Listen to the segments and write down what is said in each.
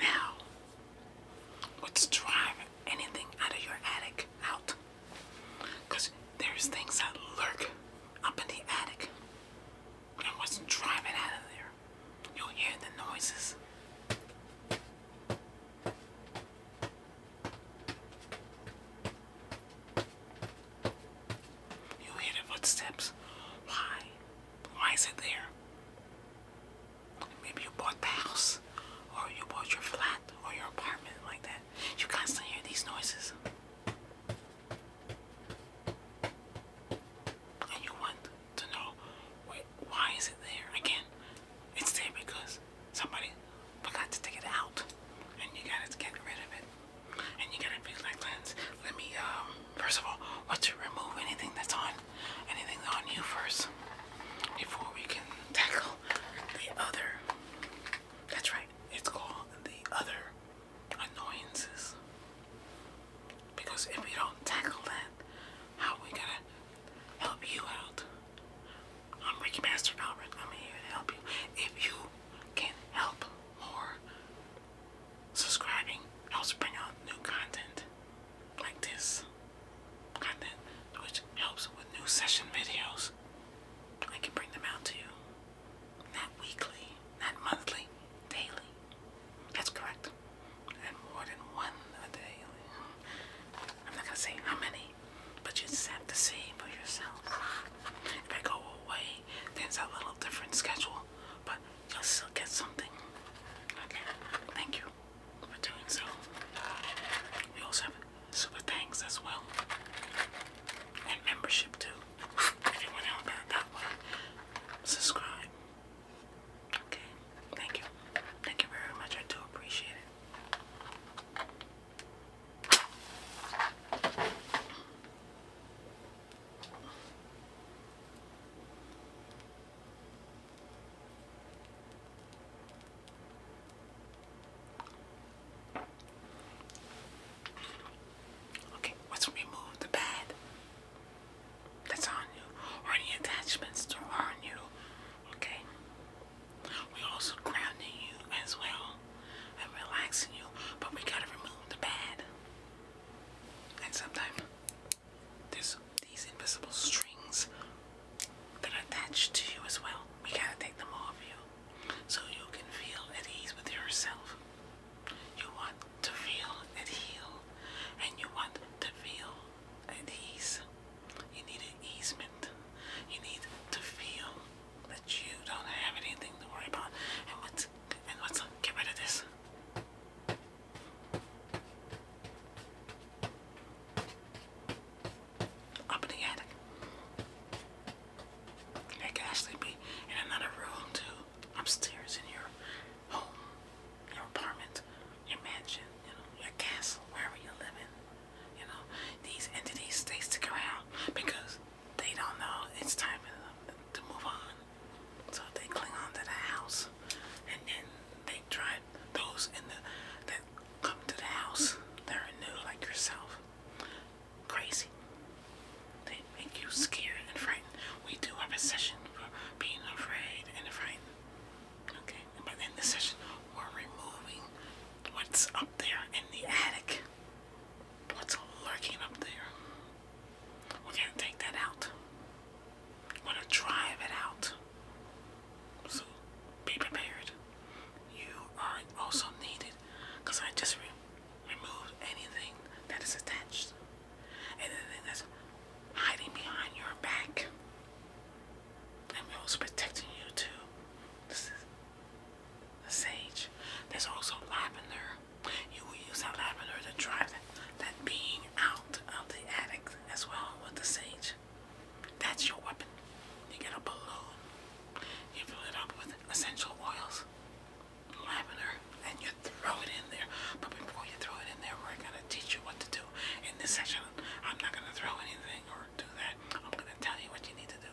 Now, let's anything out of your attic out. there's things that lurk up in the attic. And let's drive out of there. you hear the noises. you hear the footsteps. Why? Why is it there? Maybe you bought the house, or you bought your flat, or your apartment, like that. You constantly hear these noises. And you want to know why is it there? Again, it's there because somebody forgot to take it out, and you gotta get rid of it. And you gotta be like, let me um First of all, let's remove anything that's on anything on you first before we can tackle the other. That's right, it's called the other annoyances. Because if we don't tackle that, how we gonna help you out? I'm Ricky Master Albert. I'm here to help you. If you can help more subscribing. helps bring out new content like this content, which helps with new session videos. I can bring them out to you. Not weekly, not monthly, daily. That's correct. And more than one a day. I'm not gonna say how many, but you just have to see for yourself. If I go away, then a little different schedule. But you'll still get something. Okay, thank you for doing so. We also have super thanks as well, and membership too. If you want to know about that one, subscribe. Okay, thank you. Thank you very much. I do appreciate it. Okay, let's remove the pad that's on you any attachments that are you. Okay. We're also grounding you as well and relaxing you, but we gotta remove the pad. And sometimes there's these invisible strings that are attached to you as well. We gotta take them off you so you can feel at ease with yourself. You want to feel at heal and you want to feel at ease. You need an easement. You need to feel that you don't have anything to worry about. And what's and what's get rid of this? Up in It can actually be in another room too, upstairs in your home, your apartment, your mansion, you know, your castle, wherever you're living. You know, these entities they stick around because they don't know it's time for them to move on. So they cling on to the house, and then they try those in the that come to the house they are new, like yourself. Crazy. They make you scared and frightened. We do have a session for being afraid and frightened. Okay, and by the end of the session, we're removing what's up there in the attic. What's lurking up there? We're gonna take that out. We're gonna drive it out. So be prepared. You are also needed because I just removed anything that is attached. Anything that's hiding behind your back. I'm also protecting you too. This is the sage. There's also there. You will use our lavender to drive that being out of the attic as well with the sage. That's your weapon. You get a balloon. You fill it up with essential oils, lavender, and you throw it in there. But before you throw it in there, we're going to teach you what to do. In this session, I'm not going to throw anything or do that. I'm going to tell you what you need to do.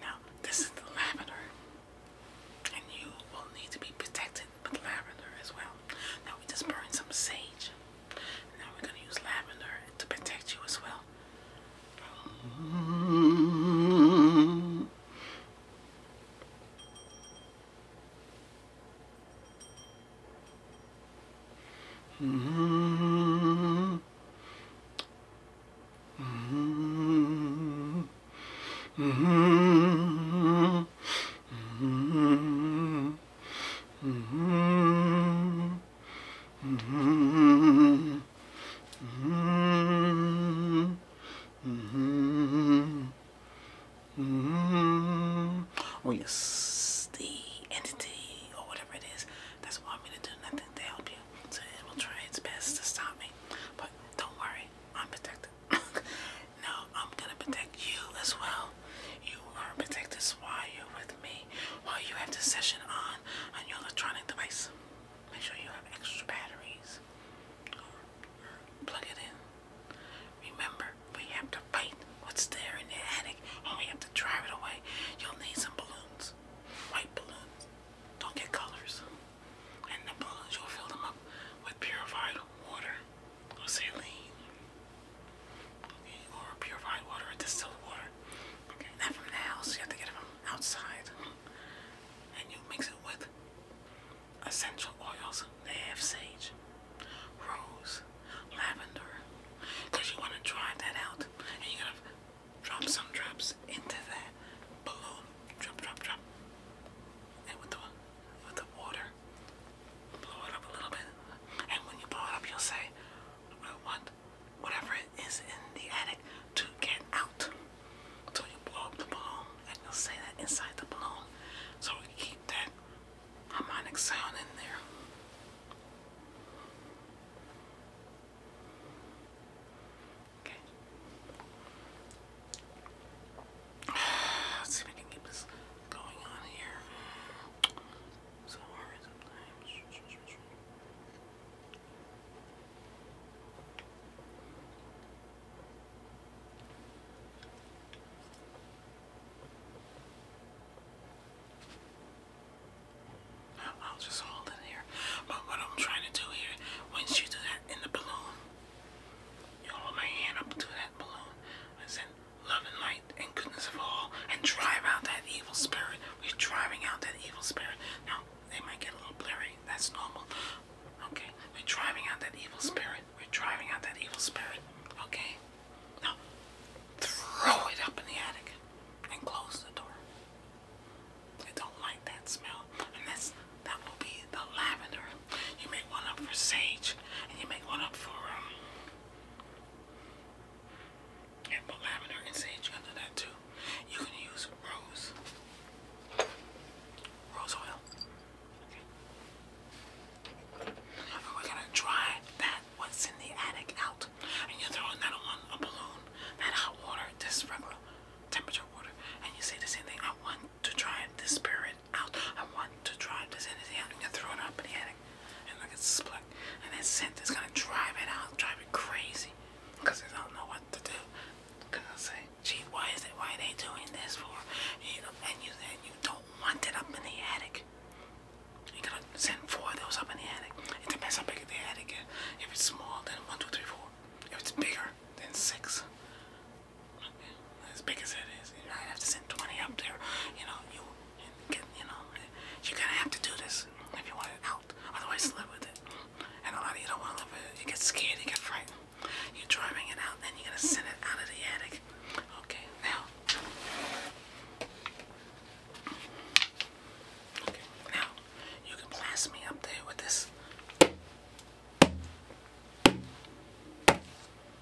Now, this is the lavender, and you will need to be protected with lavender as well. Now, we just burn some sage now we're going to use lavender to protect you as well. Oh yes, the entity or whatever it is that's want me to do nothing to help you. So it will try its best to stop me. But don't worry, I'm protected. You are protected while you're with me, while you have the session on on your electronic device. Make sure you have extra batteries. Plug it in. Remember, we have to fight what's there in the attic, and we have to drive it away. You'll need some balloons, white balloons. Don't get colors. And the balloons, you'll fill them up with purified water or saline. Okay, or purified water or distilled water. Okay, not from the house, you have to get it from outside. And you mix it with essential oils. They have sage, rose, lavender. Because you want to dry that out. And you're going to drop some drops into that balloon. Drop, drop, drop. And with the, with the water blow it up a little bit, and when you blow it up, you'll say, I want whatever is in the attic to get out. So you blow up the balloon, and you'll say that inside the balloon. So we keep that harmonic sound in there. Okay. Let's see if we can keep this going on here. I'll just hold it here. But what I'm trying to do here, once you do that in the balloon, you hold my hand up to that balloon. I said, love and light and goodness of all and drive out that evil spirit. We're driving out that evil spirit. Now, they might get a little blurry. That's normal. Okay, we're driving out that evil spirit. We're driving out that evil spirit. Okay? Now, throw it up in the attic and close the door. I don't like that smell. And that's, that will be the lavender. You make one up for sage and you make one up for um, and lavender and sage under that too. You can use rose. Rose oil. Okay. We're gonna dry that what's in the attic out. And you're throwing that on a balloon, that hot water, this regular temperature water, and you say the same thing. I want to dry this period out. I want to drive this energy out. I'm gonna throw it up in the attic. And look, it's split. And then synth is gonna drive it out, drive it crazy. Because they don't know what to do. Because I say, gee, why is it, why are they doing this for? You know, and you, and you don't want it up in the attic. You're gonna send four of those up in the attic. It depends how big the attic is. If it's small, then one, two, three, four. If it's bigger, then six as big as it is. You might have to send 20 up there. You know, you get, you know, you're gonna have to do this if you want it out. Otherwise, live with it. And a lot of you don't want to live with it. You get scared, you get frightened. You're driving it out, and you're gonna send it out of the attic. Okay, now. Okay, now you can blast me up there with this.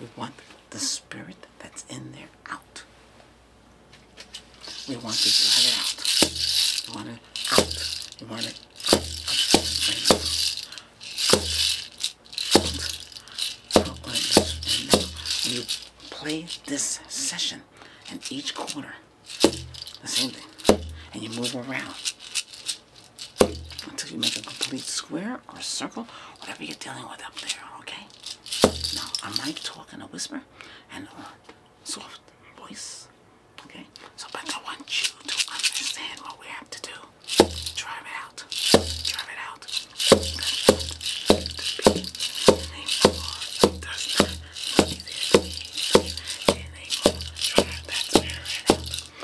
We want the spirit that's in there out. We want to drive it out. We want it out. We want it out. You play this session in each corner, The same thing. And you move around until you make a complete square or circle, whatever you're dealing with up there, okay? Now, I might talk in a whisper and a soft voice, okay? So, but I want you to understand what we have to do. Drive it out. Drive it out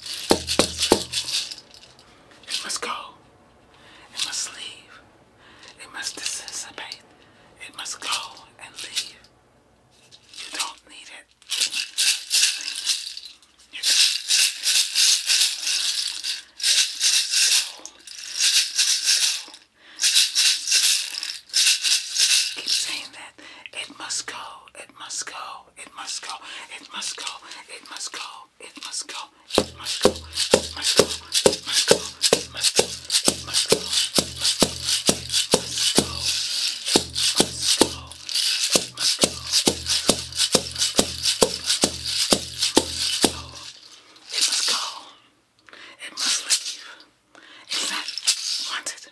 It must go. It must leave. It must dissipate. It must go and leave. You don't need it. You don't. Keep saying that. It must go. It must go it must go, it must go, it must go, it must go, it must go, it must go, it must go, it must go, it must go, it must go, it must go, it must go, it must go, it must leave. It's not wanted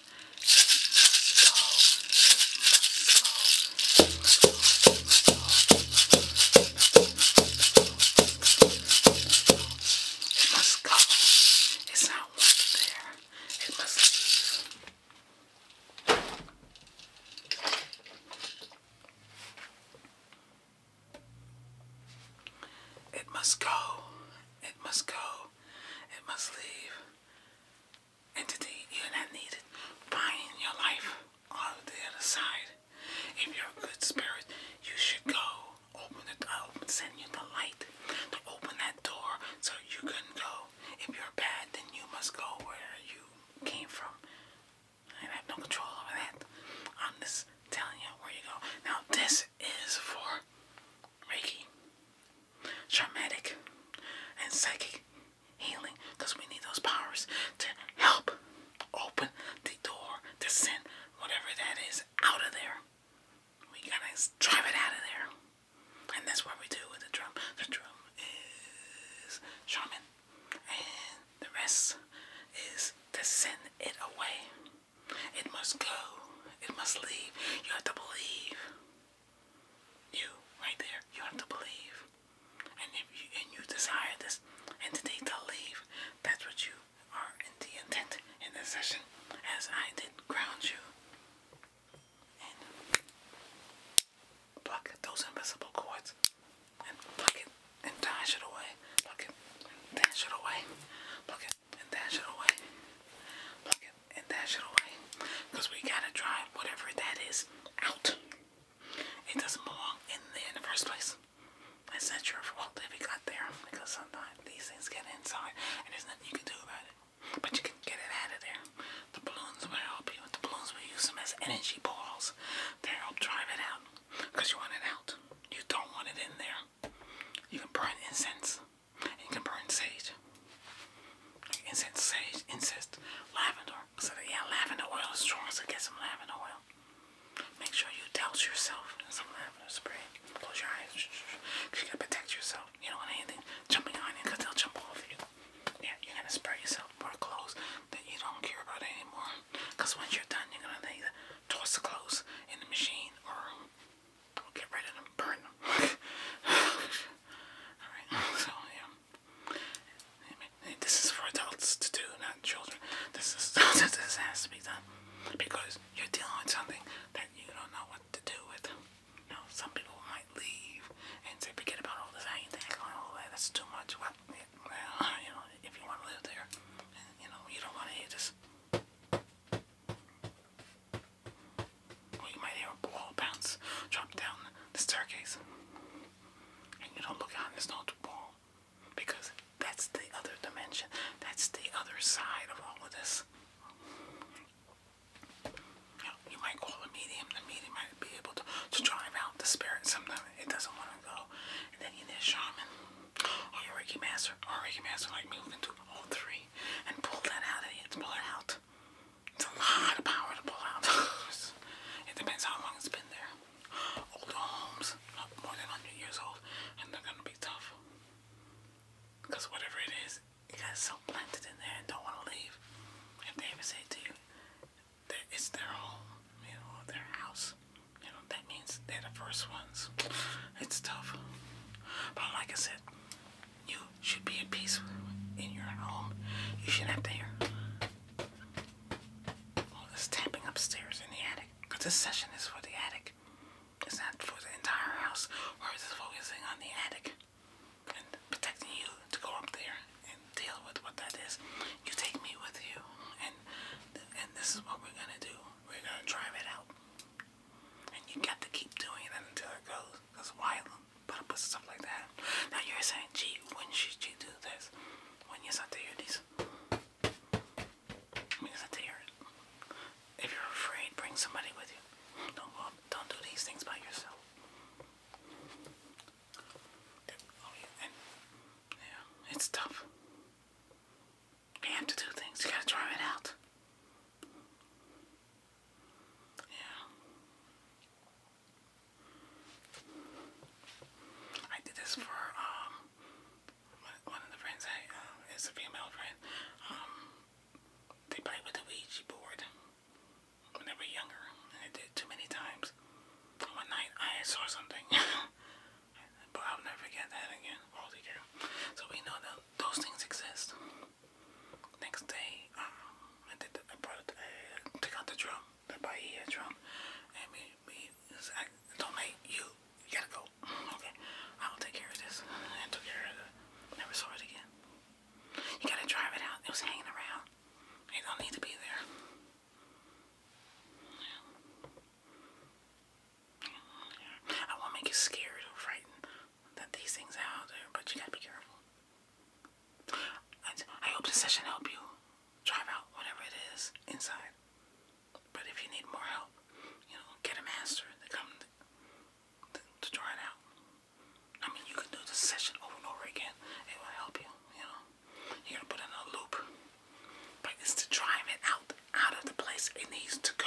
It must go. It's not wanted there. It must go. It must go. It must leave. And today you're not needed buying your life on the other side. If you're a good spirit, you should go open the uh, send you the light to open that door so you can go. If you're bad, then you must go where you came from. I have no control over that. I'm just telling you where you go. Now this is for Reiki, traumatic, and psychic healing because we need those powers to help open the door to send whatever that is out of there. We gotta drive it out of there. And that's what we do with the drum. The drum is shaman, and the rest is to send it away. It must go, it must leave. You have to believe. You, right there, you have to believe. And if you and you desire this entity to leave, that's what you are in the intent in this session, as I did ground you and pluck those invisible cords and pluck it and dash it away. Pluck it dash it away. Pluck it and dash it away. Plug it and dash it away. Because we gotta drive whatever that is out. It doesn't belong in there in the first place. It's not your fault if it got there because sometimes these things get inside and there's nothing you can do about it. But you can get it out of there. The balloons will help you. The balloons will use them as energy balls to help drive it out because you want it out. You don't want it in there. You can burn incense. Incense sage. incense, sage, incense, lavender. So yeah, lavender oil is strong, so get some lavender oil. Make sure you douse yourself in some lavender spray. Close your eyes. You gotta protect yourself. You don't want anything jumping on you because they'll jump off you. Yeah, you're gonna spray yourself more clothes that you don't care about anymore. Because once you're done, you're gonna either toss the clothes in the machine or We'll get rid of them, burn them. Alright, so yeah. This is for adults to do, not children. This is this has to be done because you're dealing with something that you don't know what to do with. You know, some people might leave and say, forget about all this. I ain't that all that. That's too much. well, you know, if you want to live there, you know, you don't want to hear this. Or you might hear a ball bounce, drop down the staircase. And you don't look out, there's no ball. Because that's the other dimension. That's the other side of all of this. You, might call a medium. The medium might be able to, to drive out the spirit. Sometimes it doesn't want to go. And then you need a shaman. Or your Reiki master. Or a Reiki master like me who all three and pull that out of you. Pull it out. It's a lot of power to pull out. it depends how long it's been there. Older homes, more than 100 years old, and they're gonna be tough. Because whatever it is, you got so planted in there and don't want to leave. If they ever say to you, that it's their home, you know, their house, you know, that means they're the first ones. It's tough. But like I said, you should be at peace in your home. You shouldn't have to hear all this tapping upstairs in the attic. Because this session is for the attic. It's not for the entire house. We're just focusing on the attic and protecting you to go up there and deal with what that is. You take me with you, and and this is what we're gonna do. We're gonna drive it out. And you got to keep doing it until it goes. Because why put up with stuff like that? Now you're saying, gee, when should you do this? When you're not there, these. When you're not there. If you're afraid, bring somebody with you. Don't go, don't do these things by yourself. Oh yeah, yeah, it's tough. You have to do things. You gotta try it out. Yeah. I did this for um one of the friends I um, is a female friend. Um, they played with the Ouija board when they were younger, and did too many times. one night I saw something. but I'll never forget that again altogether. So we know that those things exist. Next day, um, I did. I brought. I uh, took out the drum, the Bahia drum, me, me, don't like you. You gotta go. Okay, I'll take care of this. took care of it. Never saw it again. You gotta drive it out. It was hanging around. It don't need to be there. Yeah. I won't make you scared or frightened that these things out there, but you gotta be careful. I, hope this session helped you drive out whatever it is inside. But if you need more help, you know, get a master to come to, to, it out. I mean, you can do this session over and over again. It will help you, you know. You're gonna put in a loop, but it's to drive it out out of the place it needs to go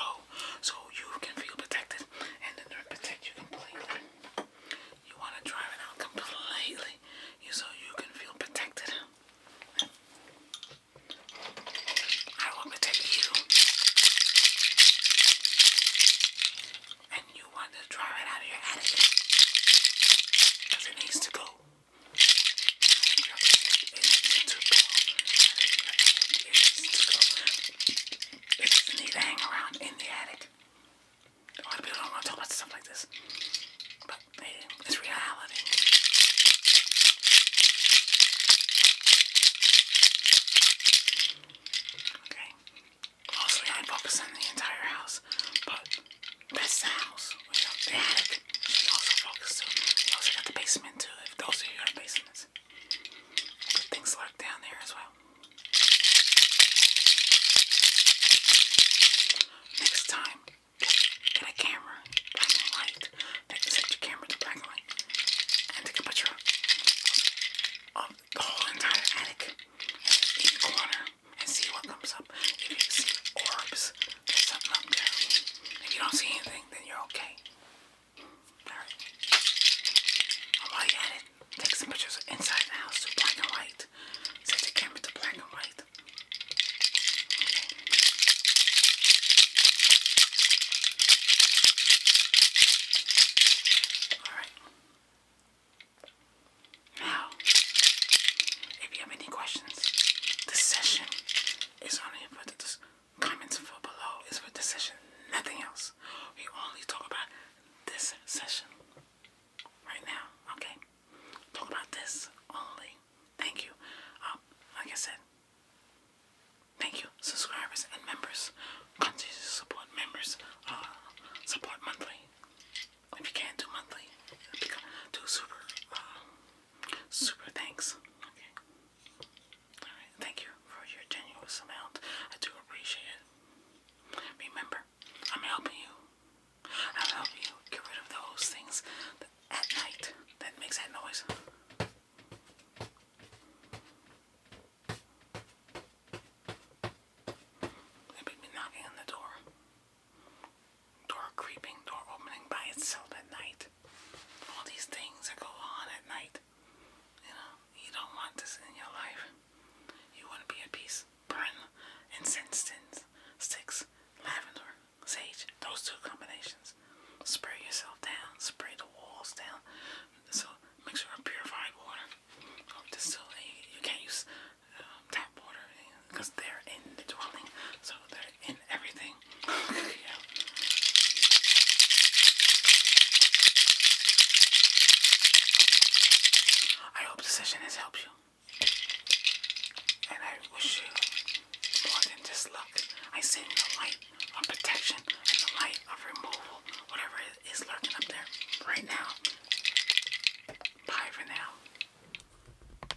so you can feel protected and the nerve protect you completely. You want to drive it out completely so you can feel protected. I will protect you. And you want to drive it out of your attic. Because it needs to go. It's doesn't need to hang around in the attic. A lot of people don't want to talk about stuff like this. But it's reality. Okay. Mostly I focus on the entire house, but that's house. You know, the attic he also got the basement too, if those of you are in basements. Good things lurk down there as well. Next time, get a camera, black and light. They can set your camera to and take a picture of, the whole entire attic in each corner and see what comes up. If you see orbs, there's something up there. If you don't see anything, setting, then you're okay. Alright. while you're at it, take some pictures inside the house to black and white. Set the camera to black and white. Okay. Alright. Now, if you have any questions, this session it's only for the comments for below. It's for this nothing else. We only talk about this session right now. Okay, talk about this only. Thank you. Um, like I said, thank you, subscribers and members. Continue to support members. Uh, support monthly. If you can't do monthly, do super. Uh, Super thanks. Okay. Alright, thank you for your generous amount. I do appreciate it. Remember, I'm helping you. I'll help you get rid of those things that, at night that makes that noise. They'll be knocking on the door. Door creeping, door opening by itself at night. All these things that go on at night. You know, you don't want this in your life. You want to be at peace. Burn incense sticks, lavender, sage, those two combinations. Spray yourself down, spray the walls down. So mixture of purified water distilled. Oh, you, you can't use um, tap water because they're in the dwelling, so they're in everything. I hope this session has helped you. And I wish you more than just luck. I send the light of protection and the light of removal, whatever is lurking up there right now. Bye for now.